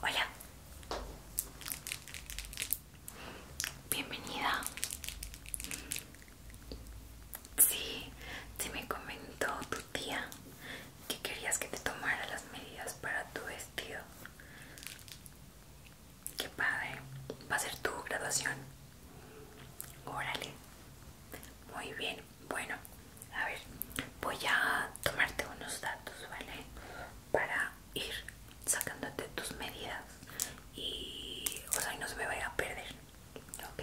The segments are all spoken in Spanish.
Hola, bienvenida. Sí, te me comentó tu tía que querías que te tomara las medidas para tu vestido. Qué padre, va a ser tu graduación. Órale, muy bien. Bueno, a ver, voy a tomarte unos datos, ¿vale? Para ir sacándote tus medidas y, o sea, no se me vaya a perder, ¿ok?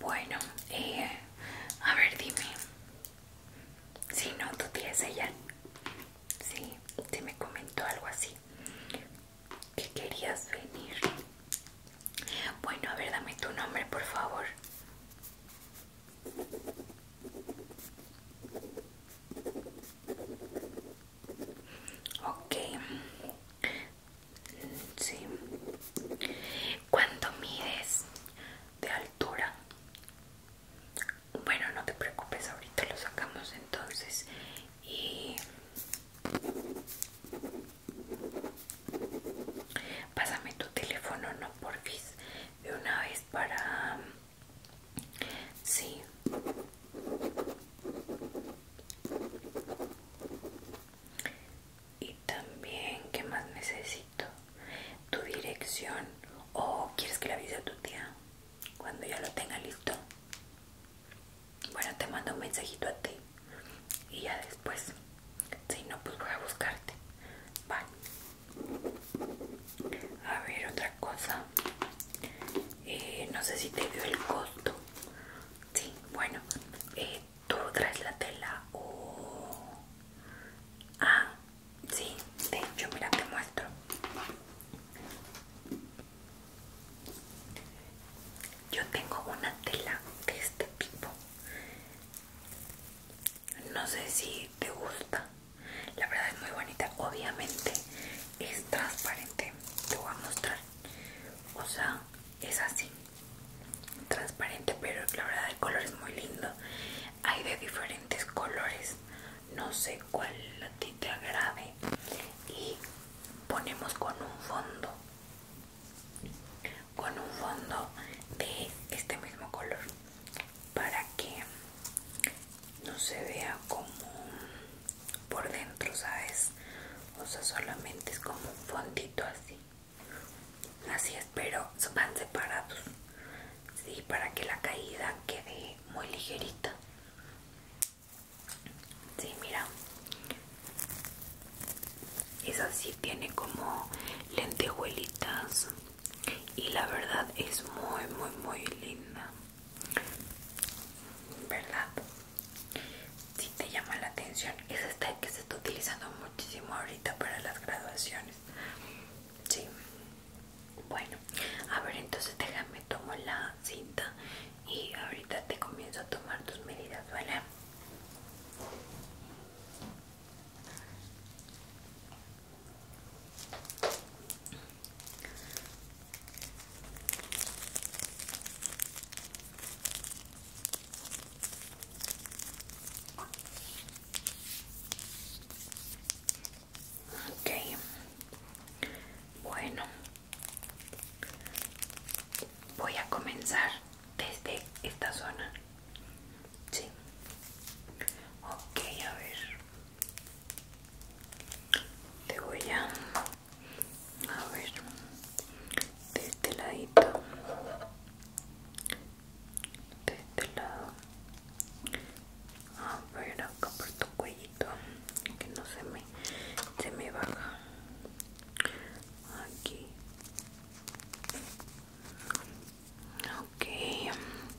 Bueno, eh, a ver, dime. Si no, tú tienes ella. si te me comentó algo así que querías venir. Bueno, a ver, dame tu nombre, por favor. Ok. Sí. cuando mides de altura? Bueno, no te preocupes, ahorita lo sacamos entonces y pásame tu teléfono no porfis de una vez para sí y también qué más necesito tu dirección o quieres que le avise a tu tía cuando ya lo tenga listo bueno, te mando un mensajito a ti y ya después. Si no, pues voy a buscarte. Vale. A ver, otra cosa. Eh, no sé si te dio el costo. Sí, bueno. Eh, ¿Tú traes la tela o...? Ah, sí. De hecho, mira, te muestro. Yo tengo una tela de este tipo. No sé si te gusta. La verdad es muy bonita. Obviamente es transparente. Te voy a mostrar. O sea, es así. Transparente, pero la verdad el color es muy lindo. Hay de diferentes colores. No sé cuál a ti te agrade. Y ponemos con un fondo con un fondo de este mismo color para que no se vea como por dentro sabes o sea solamente es como un fondito así así es pero van separados sí para que la caída quede muy ligerita Sí, mira. Es así, tiene como lentejuelitas. Y la verdad es muy, muy, muy linda. ¿Verdad? Si sí te llama la atención. Es esta que se está utilizando muchísimo ahorita para las graduaciones. Sí. Bueno, a ver, entonces déjame tomo la cinta y ahorita te comienzo a tomar tus medidas, ¿vale? Ok, bueno, Voy a comenzar desde esta zona. Sí. Ok, a ver. Te voy a... A ver. De este ladito. De este lado. A ver acá por tu cuellito. Que no se me se me baja aquí okay mm.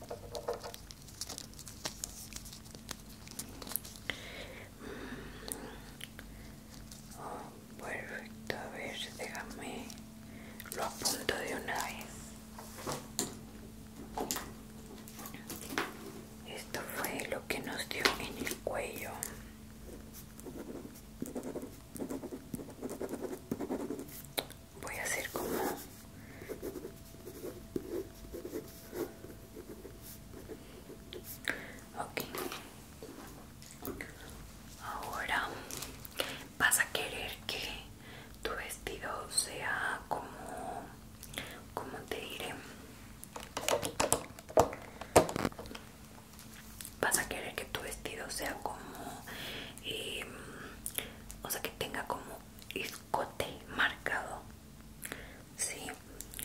oh, perfecto a ver déjame lo apunto de una vez esto fue lo que nos dio en el cuello. Voy a hacer como Ok. Ahora vas a querer que tu vestido sea como como te diré vas a querer que tu vestido sea como eh, o sea que tenga como escote marcado sí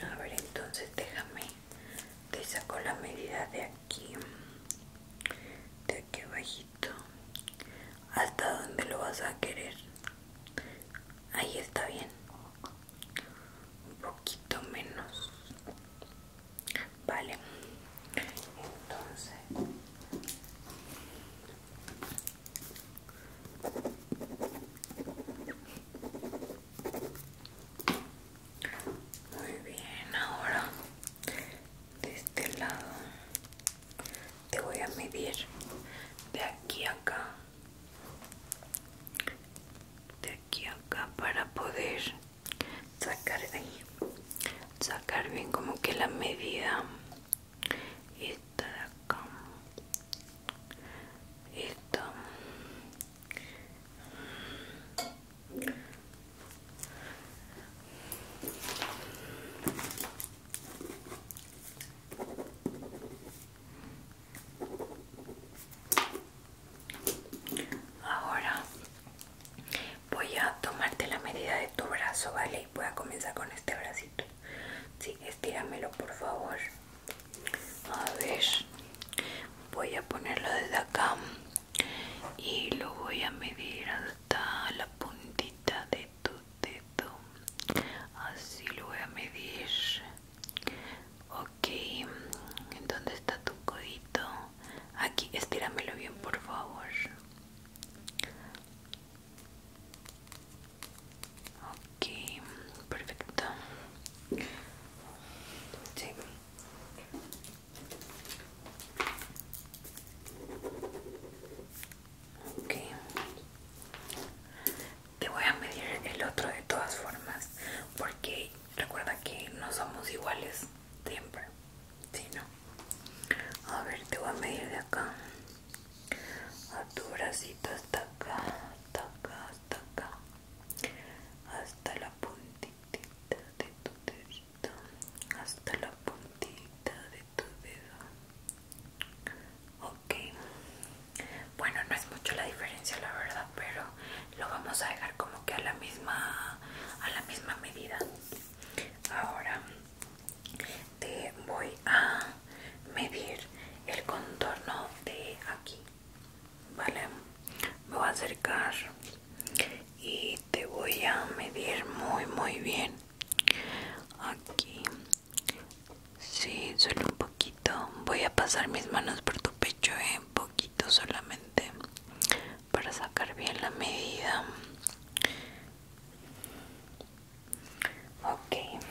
a ver entonces déjame te saco la medida de aquí de aquí bajito hasta donde lo vas a querer ahí está bien un poquito menos vale entonces muy bien ahora de este lado te voy a medir de aquí a acá de aquí acá para poder sacar bien sacar bien como que la medida esta de acá esta Ahora voy a tomarte la medida de tu brazo, ¿vale? Y voy a comenzar con este bracito. Sí, estíramelo por favor. A ver, voy a ponerlo desde acá y lo voy a medir hasta la puntita de tu dedo. Así lo voy a medir. Ok, ¿dónde está tu codito? Aquí, estíramelo bien, por favor. Okay, perfecto. Sí te voy a medir el otro de todas formas porque recuerda que no somos iguales siempre ¿si no? a ver te voy a medir de acá a tu bracito hasta acá hasta acá hasta acá hasta la puntita de tu dedo hasta la puntita de tu dedo ok bueno, no es mucho la diferencia la verdad, pero lo vamos a dejar como que a la misma a la misma medida. Ahora te voy a medir el contorno de aquí. Vale. Me voy a acercar y te voy a medir muy muy bien. Aquí Sí, solo un poquito. Voy a pasar mis manos por tu pecho, ¿eh? un poquito solamente, para sacar bien la medida. Ok.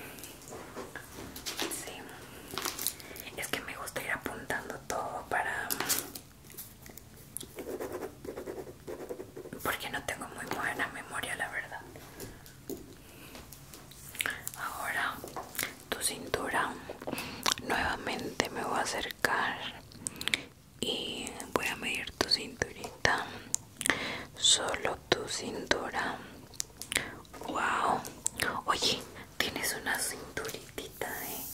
Sí. Es que me gusta ir apuntando todo para... Porque no tengo muy buena memoria, la verdad. Ahora tu cintura nuevamente me voy a acercar y voy a medir tu cinturita. Solo tu cintura. Wow. Oye, tienes una cinturita ¿eh?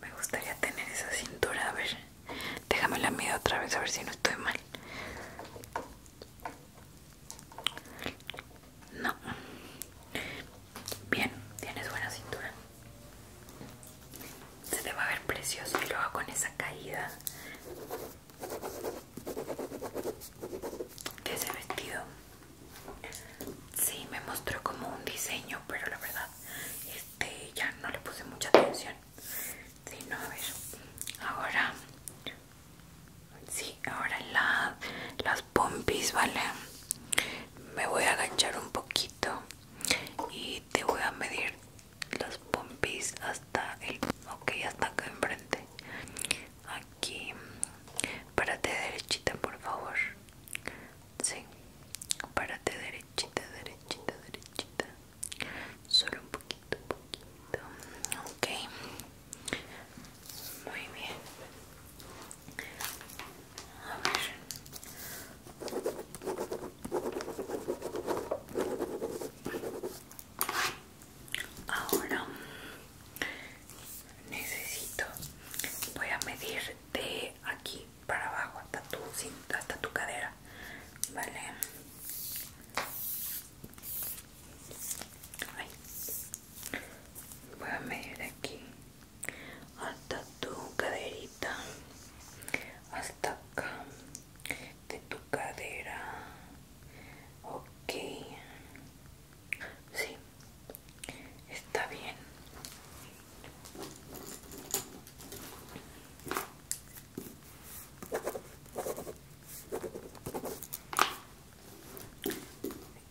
Me gustaría tener esa cintura. A ver, déjame la medio otra vez a ver si no estoy mal. No. Bien, tienes buena cintura. Se te va a ver precioso y luego con esa caída. de ese vestido. Sí, me mostró como un diseño, pero la verdad, este ya no le puse mucha atención. Sí, no, a ver. Ahora Sí, ahora las pompis, ¿vale? Me voy a agachar un poquito y te voy a medir las pompis hasta el... Ok, hasta acá enfrente. Aquí. Párate derechita, por favor. Sí. Párate derechita, derechita, derechita. Solo un poquito, un poquito. Ok. Muy bien. A ver. Ahora necesito, voy a medir de aquí para abajo hasta tu, hasta tu cadera, ¿vale? Voy a medir aquí hasta tu caderita, hasta acá de tu cadera. Ok, sí, está bien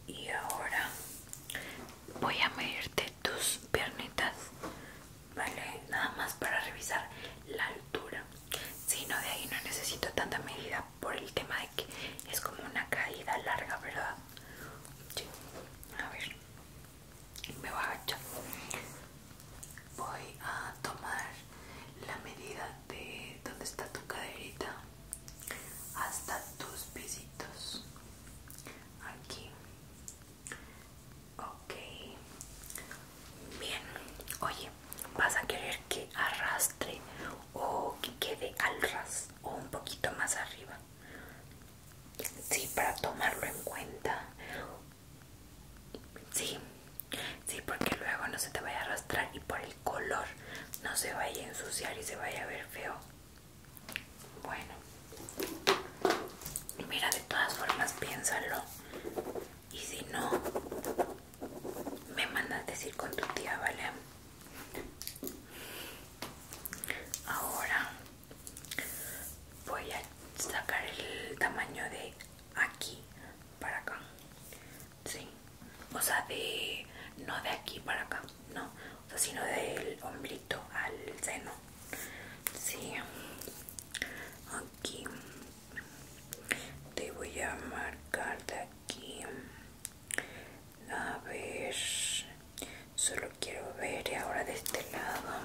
y ahora voy a medirte tus piernitas vale nada más para revisar la altura si no de ahí no necesito tanta medida por el tema de que es como una caída larga verdad sí. a ver me voy a agachar voy a tomar la medida de donde está tu caderita hasta tus pisitos aquí ok bien oye vas a querer que arrastre o que quede al ras o un poquito más arriba sí para tomarlo en cuenta sí sí porque luego no se te vaya a arrastrar por el color no se vaya a ensuciar y se vaya a ver feo bueno mira de todas formas piénsalo y si no me mandas decir con tu tía vale ahora voy a sacar el tamaño de aquí para acá ¿sí? O sea, de, no de aquí para acá, no, o sino del omblito al seno, ¿sí? Aquí te voy a marcar de aquí. A ver, solo quiero ver ahora de este lado.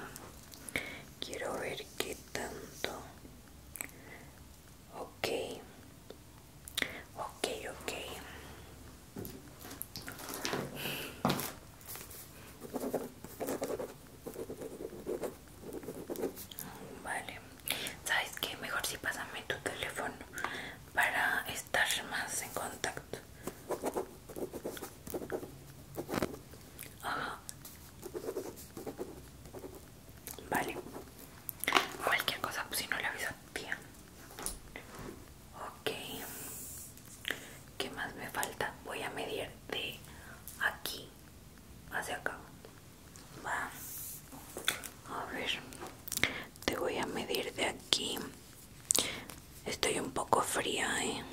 Quiero ver qué tanto. Ok, Ok, ok. Vale. ¿Sabes que? Mejor si sí pásame tu teléfono para estar más en contacto. Vale. Cualquier cosa, pues si no le aviso a tía ok ¿qué más me falta? voy a medir de aquí hacia acá va a ver te voy a medir de aquí estoy un poco fría ¿eh?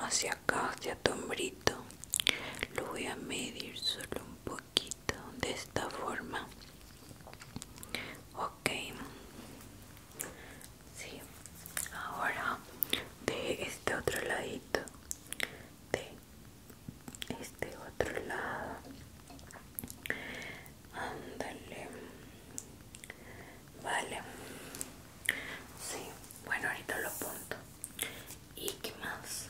hacia acá hacia tu hombrito lo voy a medir solo un poco de esta forma ok sí ahora de este otro ladito de este otro lado ándale vale sí bueno ahorita lo apunto y que más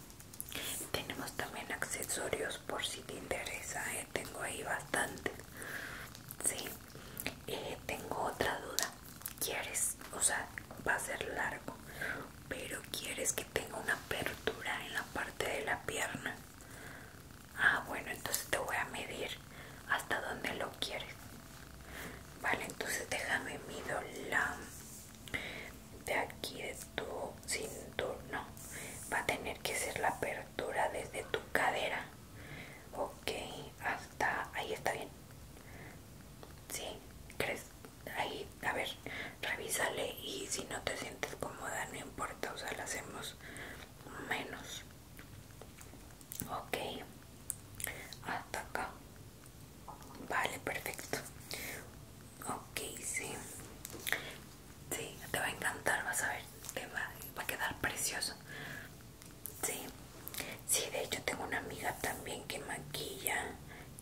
tenemos también accesorios por si te interesa ¿eh? tengo ahí bastante. Sí, eh, tengo otra duda. ¿Quieres, o sea, va a ser largo, pero quieres que tenga una apertura en la parte de la pierna? Ah, bueno, entonces te voy a medir hasta donde lo quieres. Vale, entonces déjame mido la de aquí de tu cinturón. No, va a tener que ser la apertura desde tu cadera ok hasta ahí está bien sí crees ahí a ver revísale y si no te sientes cómoda no importa o sea la hacemos menos ok hasta acá vale perfecto ok sí Sí, te va a encantar, vas a ver que va, a quedar precioso. Sí, de hecho tengo una amiga también que maquilla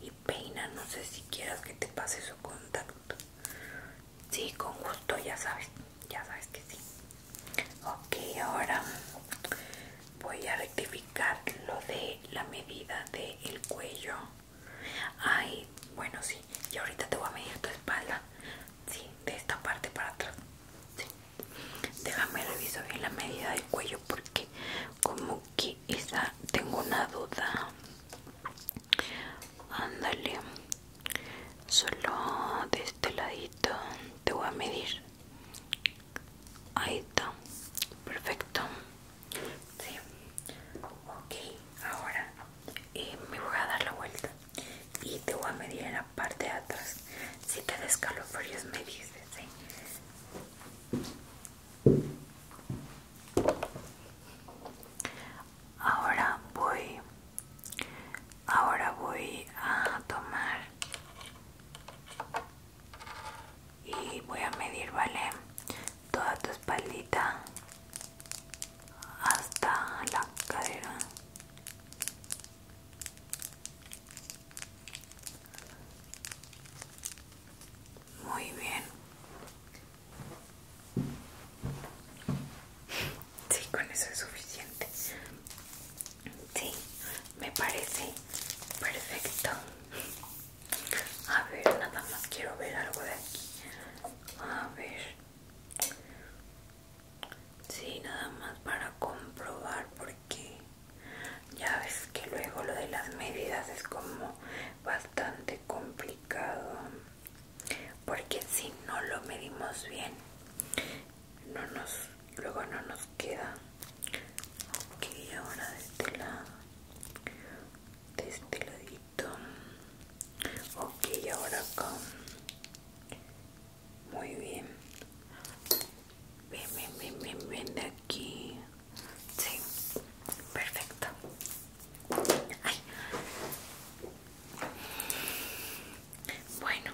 y peina. No sé si quieras que te pase su contacto. Sí, con gusto, ya sabes, ya sabes que sí. Ok, ahora voy a rectificar lo de la medida del cuello Ay, bueno, sí. Y ahorita te voy a medir tu espalda. Sí, de esta parte para atrás. Sí. Déjame revisar bien la medida del cuello porque como que esa tengo una duda. Ándale. Solo de este ladito te voy a medir. Ahí está. Perfecto. Sí. Ok, ahora y me voy a dar la vuelta y te voy a medir en la parte de atrás si te da me dices ¿sí? ahora voy ahora voy a tomar y voy a medir vale toda tu espaldita hasta la cadera muy bien sí con eso es suficiente sí me parece perfecto a ver nada más quiero ver algo de aquí a ver Sí, nada más para comprobar porque ya ves que luego lo de las medidas es como bastante complicado porque si no lo medimos bien no nos luego no nos queda ok ahora de este lado de este ladito ok ahora con muy bien ven bien bien bien de aquí sí perfecto bueno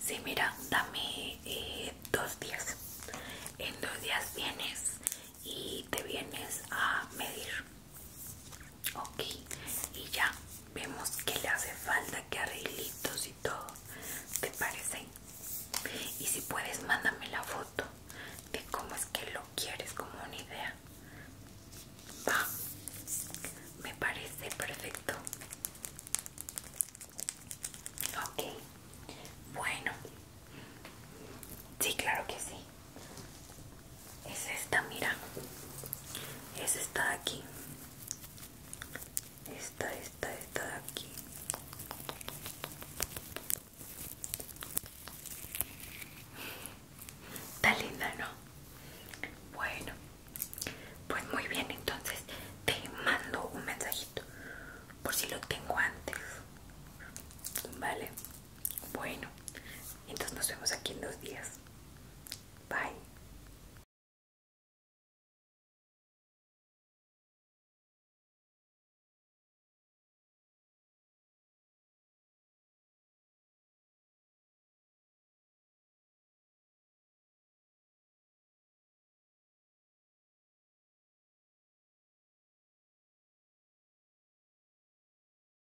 sí mira dame eh, dos días en dos días vienes y te vienes a medir ok y ya vemos que le hace falta que arreglitos y todo te parece y si puedes mándame la foto de cómo es que lo quieres como una idea va me parece perfecto ok bueno sí claro que sí es esta mira es esta de aquí esta esta esta de aquí Está linda, ¿no? Bueno, pues muy bien, entonces te mando un mensajito por si lo tengo antes. Vale. Bueno, entonces nos vemos aquí en dos días. Bye.